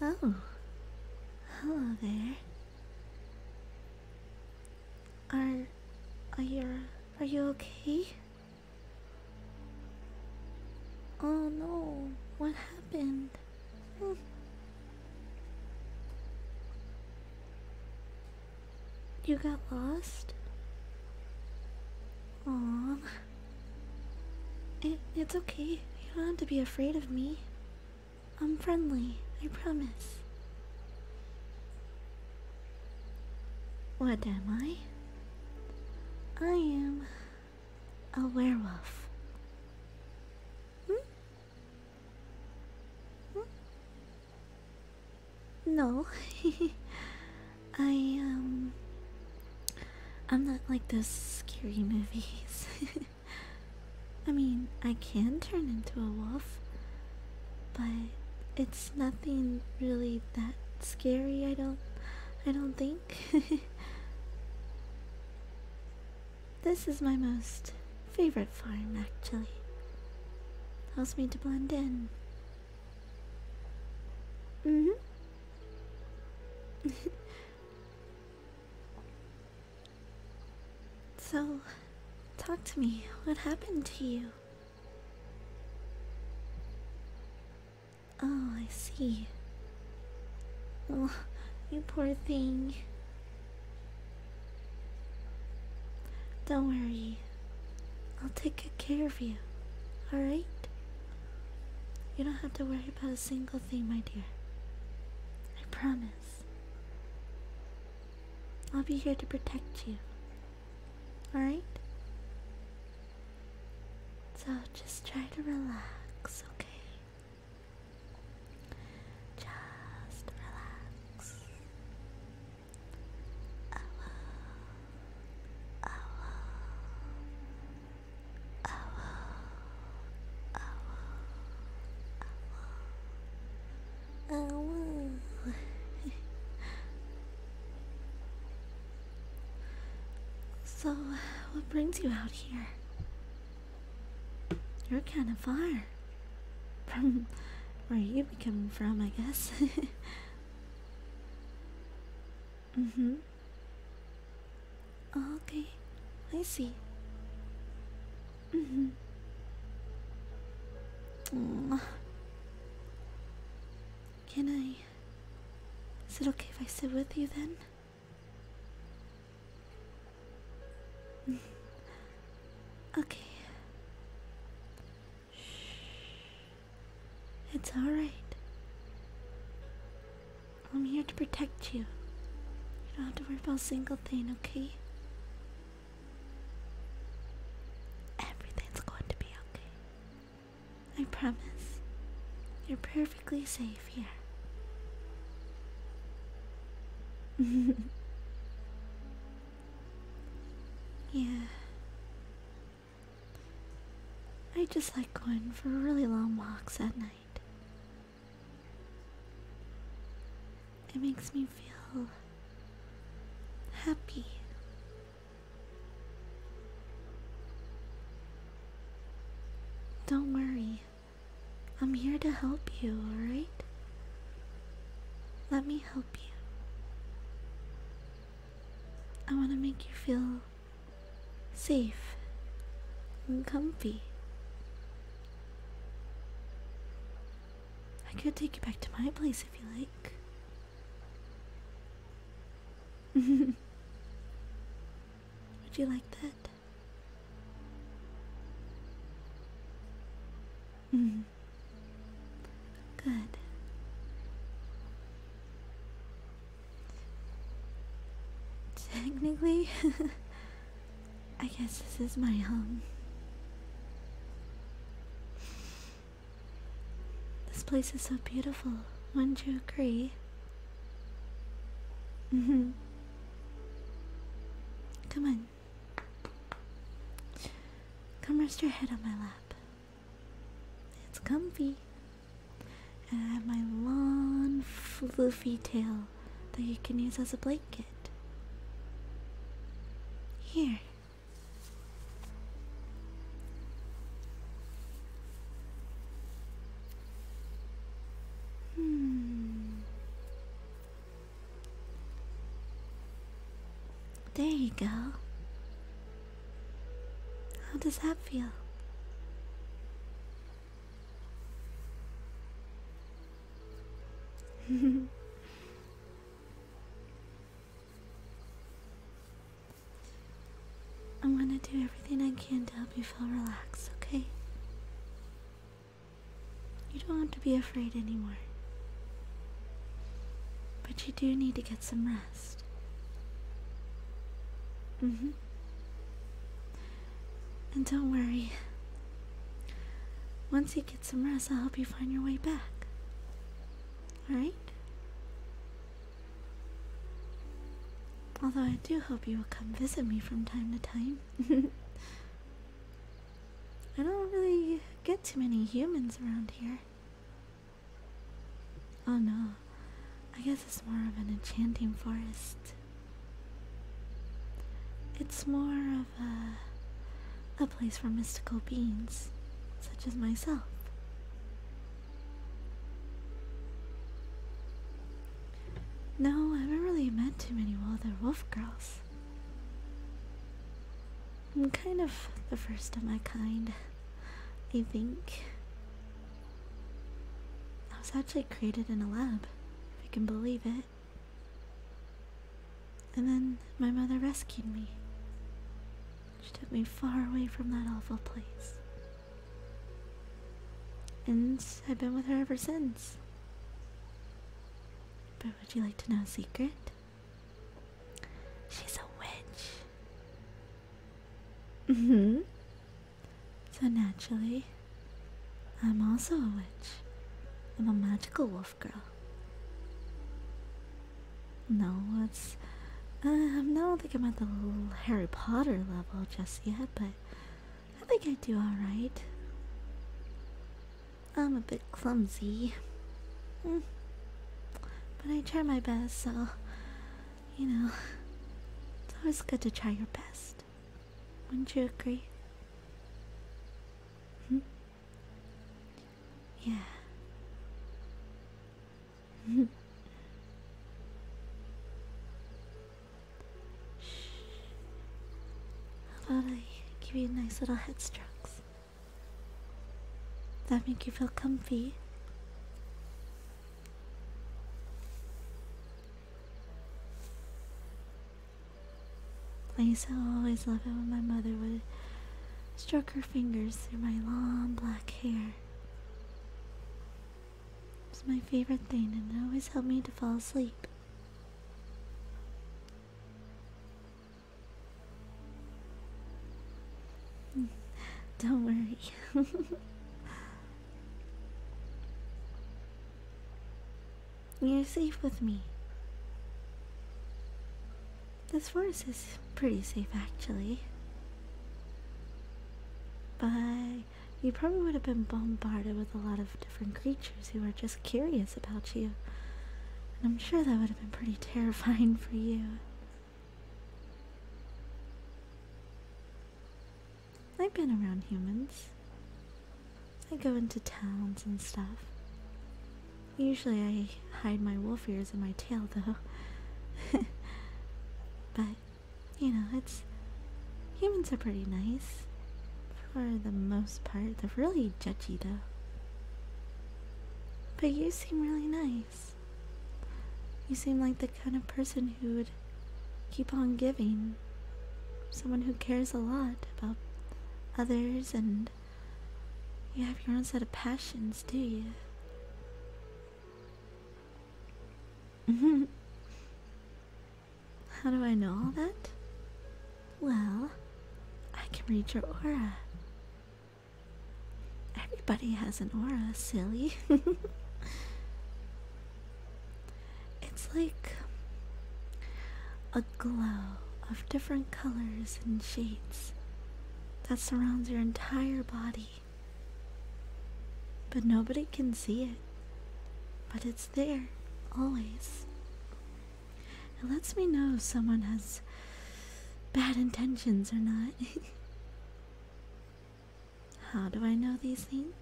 Oh, hello there. Are are you are you okay? Oh no, what happened? Hmm. You got lost? Aw. It, it's okay. You don't have to be afraid of me. I'm friendly, I promise. What am I? I am a werewolf. Hmm? Hmm? No. I, um. I'm not like those scary movies. I mean, I can turn into a wolf, but it's nothing really that scary, I don't. I don't think. This is my most favorite farm, actually. Helps me to blend in. Mm hmm. so, talk to me. What happened to you? Oh, I see. Oh, you poor thing. Don't worry. I'll take good care of you. Alright? You don't have to worry about a single thing, my dear. I promise. I'll be here to protect you. Alright? So just try to relax, okay? Just relax. I will, I will, I will, I will, I will, so, what brings you out here? You're kind of far from where you be coming from, I guess. mm hmm. okay, I see. Mm-hmm. Mm hmm. Can I? Is it okay if I sit with you then? okay. Shh. It's alright. I'm here to protect you. You don't have to worry about a single thing, okay? Everything's going to be okay. I promise. You're perfect perfectly safe here. yeah. I just like going for really long walks at night. It makes me feel happy. Don't worry. I'm here to help you, alright? Let me help you. I want to make you feel safe and comfy. I could take you back to my place if you like. Would you like that? Mm. Good. Technically, I guess this is my home. This place is so beautiful, wouldn't you agree? Mm-hmm. Come on. Come rest your head on my lap. It's comfy. And I have my long, fluffy tail that you can use as a blanket. Here. Hmm. There you go. How does that feel? I'm gonna do everything I can to help you feel relaxed, okay? You don't have to be afraid anymore. But you do need to get some rest. Mm hmm. And don't worry. Once you get some rest, I'll help you find your way back. Alright? Although I do hope you will come visit me from time to time. I don't really get too many humans around here. Oh no, I guess it's more of an enchanting forest. It's more of a, a place for mystical beings, such as myself. No, I haven't really met too many other wolf girls. I'm kind of the first of my kind, I think. I was actually created in a lab, if you can believe it. And then my mother rescued me. She took me far away from that awful place. And I've been with her ever since. But would you like to know a secret? She's a witch. Mm hmm. So naturally, I'm also a witch. I'm a magical wolf girl. No, um, i do not think I'm at the Harry Potter level just yet, but I think I do all right. I'm a bit clumsy, hmm. but I try my best. So you know, it's always good to try your best. Wouldn't you agree? Hmm? Yeah. How about I give you nice little head strokes? That make you feel comfy. I used to always love it when my mother would stroke her fingers through my long black hair. It's my favorite thing and it always helped me to fall asleep. Don't worry. You're safe with me. This forest is pretty safe actually. But you probably would have been bombarded with a lot of different creatures who are just curious about you. And I'm sure that would have been pretty terrifying for you. I've been around humans. I go into towns and stuff. Usually I hide my wolf ears and my tail, though. but, you know, it's. Humans are pretty nice. For the most part. They're really judgy, though. But you seem really nice. You seem like the kind of person who would keep on giving. Someone who cares a lot about others, and you have your own set of passions, do you? How do I know all that? Well, I can read your aura. Everybody has an aura, silly. it's like a glow of different colors and shades that surrounds your entire body. But nobody can see it. But it's there, always. It lets me know if someone has bad intentions or not. How do I know these things?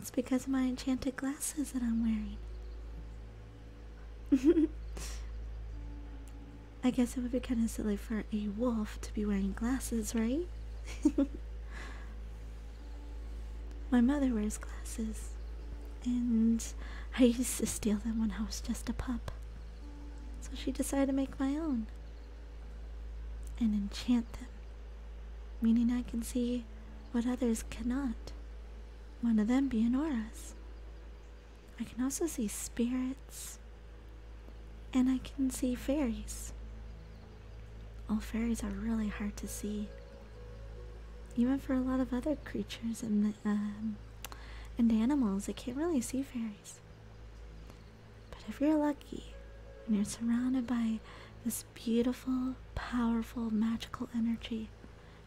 It's because of my enchanted glasses that I'm wearing. I guess it would be kind of silly for a wolf to be wearing glasses, right? My mother wears glasses, and I used to steal them when I was just a pup. So she decided to make my own and enchant them, meaning I can see what others cannot, one of them being auras. I can also see spirits. And I can see fairies. All fairies are really hard to see. Even for a lot of other creatures and um, and animals, They can't really see fairies. But if you're lucky and you're surrounded by this beautiful, powerful, magical energy,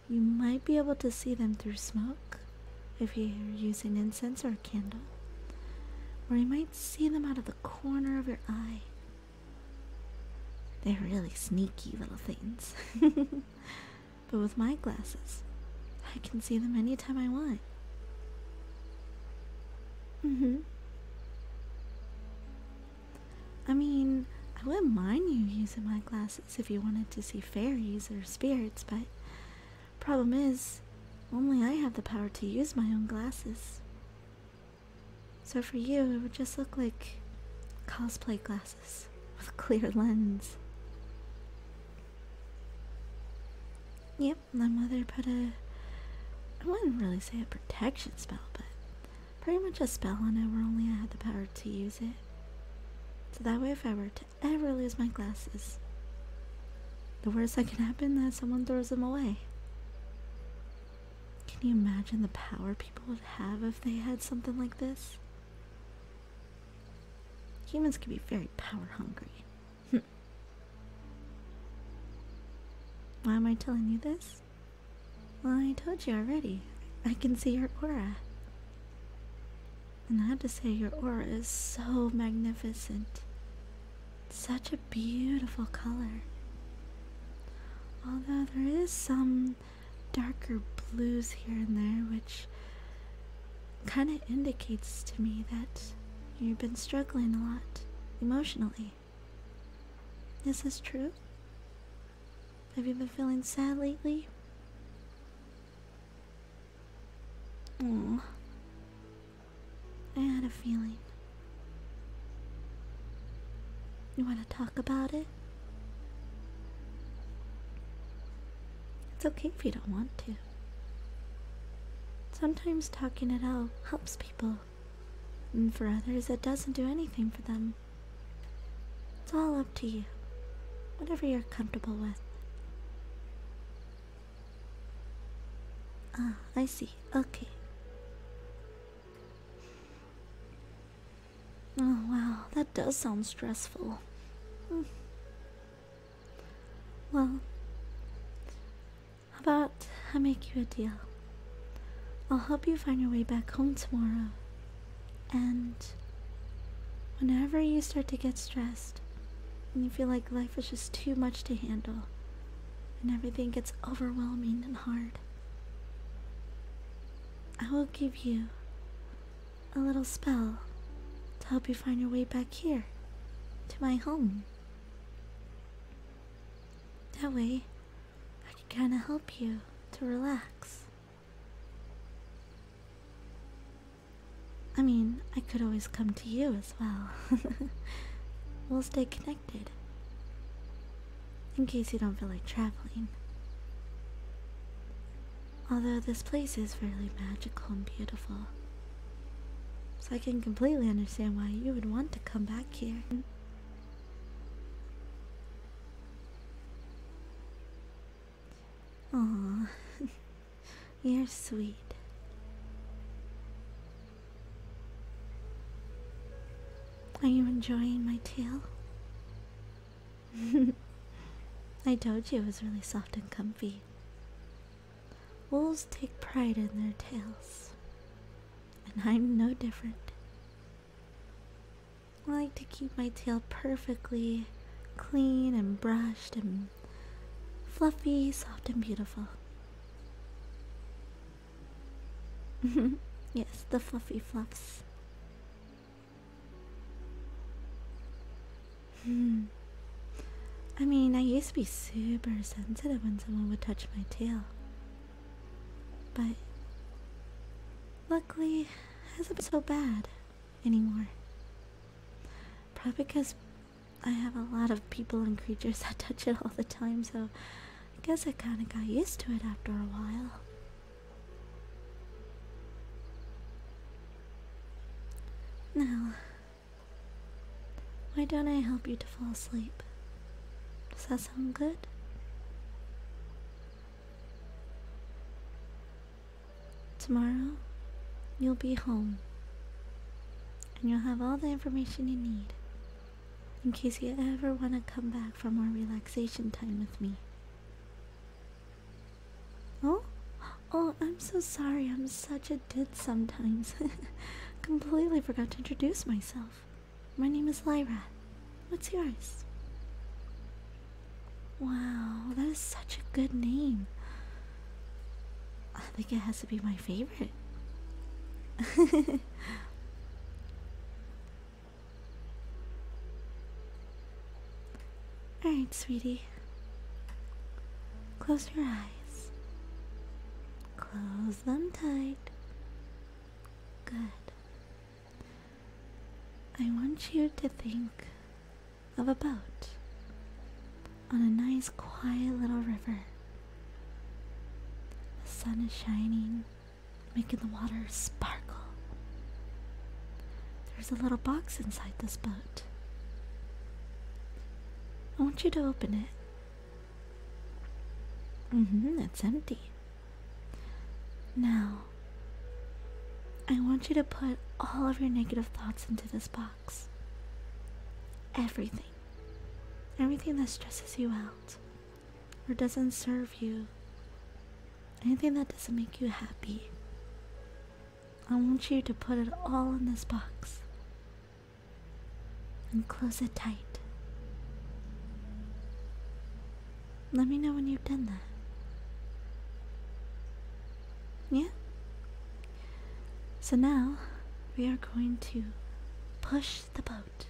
you might be able to see them through smoke if you're using incense or a candle, or you might see them out of the corner of your eye. They're really sneaky little things. but with my glasses, I can see them anytime I want. hmm. I mean, I wouldn't mind you using my glasses if you wanted to see fairies or spirits, but problem is, only I have the power to use my own glasses. So for you, it would just look like cosplay glasses with clear lens. Yep, my mother put a. I wouldn't really say a protection spell, but pretty much a spell on it where only I had the power to use it. So that way, if I were to i ever lose my glasses. The worst that can happen is someone throws them away. Can you imagine the power people would have if they had something like this? Humans can be very power hungry. Hmm. Why am I telling you this? Well, I told you already. I can see your aura. And I have to say, your aura is so magnificent. Such a beautiful color. Although there is some darker blues here and there, which kind of indicates to me that you've been struggling a lot emotionally. Is this true? Have you been feeling sad lately? Mm. I had a feeling. You want to talk about it? It's okay if you don't want to. Sometimes talking it out helps people, and for others, it doesn't do anything for them it's all up to you. Whatever you're comfortable with. Ah, I see. Okay. Oh wow, that does sound stressful. Hmm. Well, how about I make you a deal? I'll help you find your way back home tomorrow and whenever you start to get stressed and you feel like life is just too much to handle and everything gets overwhelming and hard, I will give you a little spell to help you find your way back here to my home. That way, I can kind of help you to relax I mean, I could always come to you as well. we'll stay connected. In case you don't feel like traveling. Although this place is fairly magical and beautiful. So I can completely understand why you would want to come back here. Aw, you're sweet. Are you enjoying my tail? I told you it was really soft and comfy. Wolves take pride in their tails, and I'm no different. I like to keep my tail perfectly clean and brushed and fluffy, soft, and beautiful. yes, the fluffy fluffs. Hmm. I mean, I used to be super sensitive when someone would touch my tail. But luckily, it hasn't been so bad anymore. Probably because I have a lot of people and creatures that touch it all the time, so I guess I kind of got used to it after a while. Now, why don't I help you to fall asleep? Does that sound good? Tomorrow, you'll be home and you'll have all the information you need in case you ever want to come back for more relaxation time with me. Oh? Oh, I'm so sorry. I'm such a did sometimes. Completely forgot to introduce myself. My name is Lyra. What's yours? Wow, that is such a good name. I think it has to be my favorite. Alright, sweetie. Close your eyes. Close them tight. Good. I want you to think of a boat on a nice, quiet little river. The sun is shining, making the water sparkle. There's a little box inside this boat. I want you to open it Mm-hmm, it's empty. Now, I want you to put all of your negative thoughts into this box. Everything. Everything that stresses you out or doesn't serve you. Anything that doesn't make you happy. I want you to put it all in this box and close it tight. Let me know when you've done that. Yeah? So now we are going to push the boat.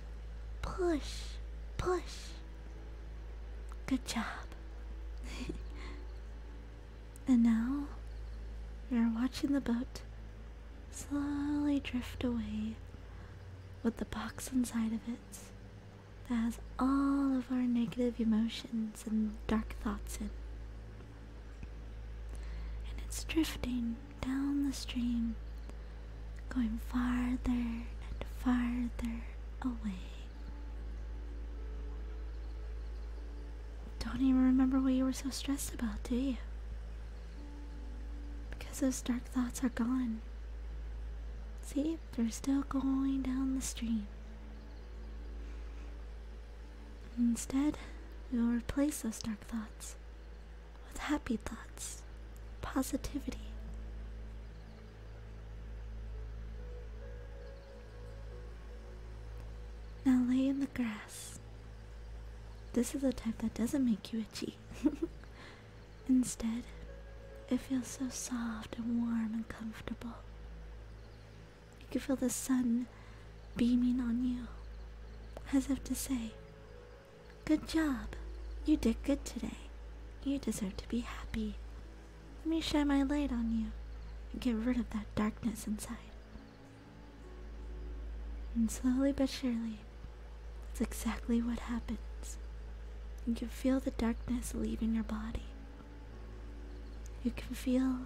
Push, push. Good job. and now we are watching the boat slowly drift away with the box inside of it that has all of our negative emotions and dark thoughts in. And it's drifting down the stream, going farther and farther away. Don't even remember what you were so stressed about, do you? Because those dark thoughts are gone. See, they're still going down the stream. Instead, we will replace those dark thoughts with happy thoughts, positivity. Now lay in the grass. This is a type that doesn't make you itchy. Instead, it feels so soft and warm and comfortable. You can feel the sun beaming on you, as if to say, Good job! You did good today. You deserve to be happy. Let me shine my light on you and get rid of that darkness inside. And slowly but surely, that's exactly what happens. You can feel the darkness leaving your body. You can feel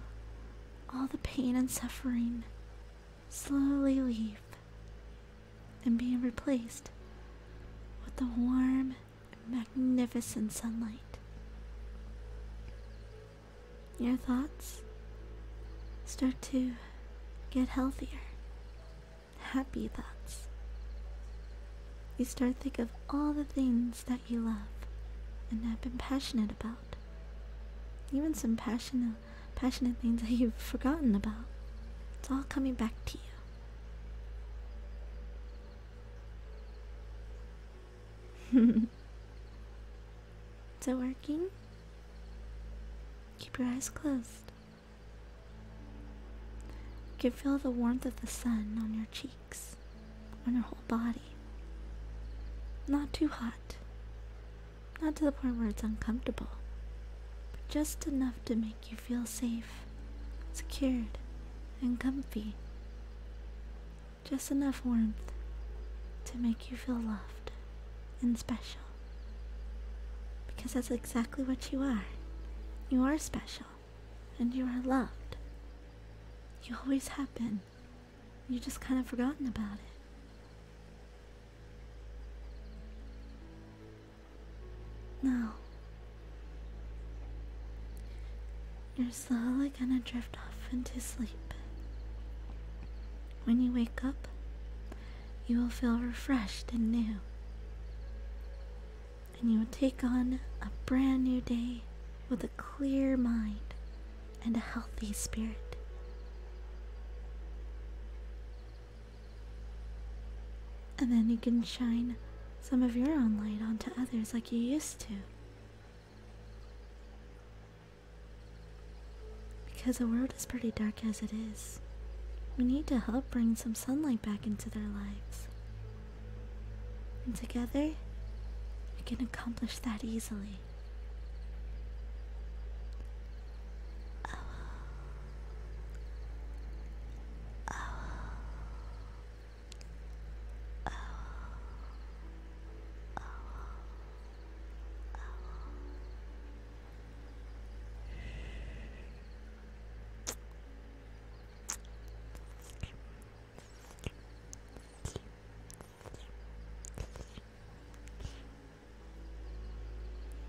all the pain and suffering slowly leave and being replaced with the warm and magnificent sunlight. Your thoughts start to get healthier. Happy thoughts. You start think of all the things that you love and have been passionate about. Even some passionate passionate things that you've forgotten about. It's all coming back to you. Is it working? Keep your eyes closed. You can feel the warmth of the sun on your cheeks, on your whole body. Not too hot, not to the point where it's uncomfortable, but just enough to make you feel safe, secured, and comfy. Just enough warmth to make you feel loved and special. Because that's exactly what you are. You are special, and you are loved. You always have been. You just kind of forgotten about it. Now You're slowly gonna drift off into sleep. When you wake up, you will feel refreshed and new. And you will take on a brand new day with a clear mind and a healthy spirit. And then you can shine some of your own light onto others like you used to. Because the world is pretty dark as it is. We need to help bring some sunlight back into their lives. And together, we can accomplish that easily. Owl. Owl. Owl. Owl.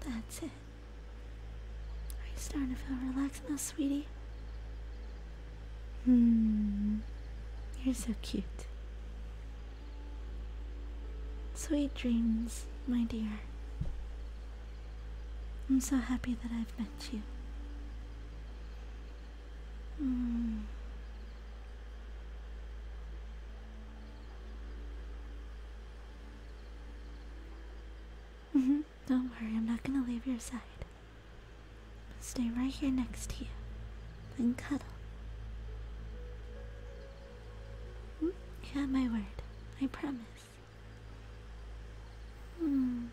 That's it. Are you starting to feel relaxed now, sweetie? Hmm. You're so cute. Sweet dreams, my dear. I'm so happy that I've met you. Hmm. Mm-hmm. Don't worry, I'm not gonna leave your side. stay right here next to you and cuddle. Mm, you have my word, I promise. Hmm.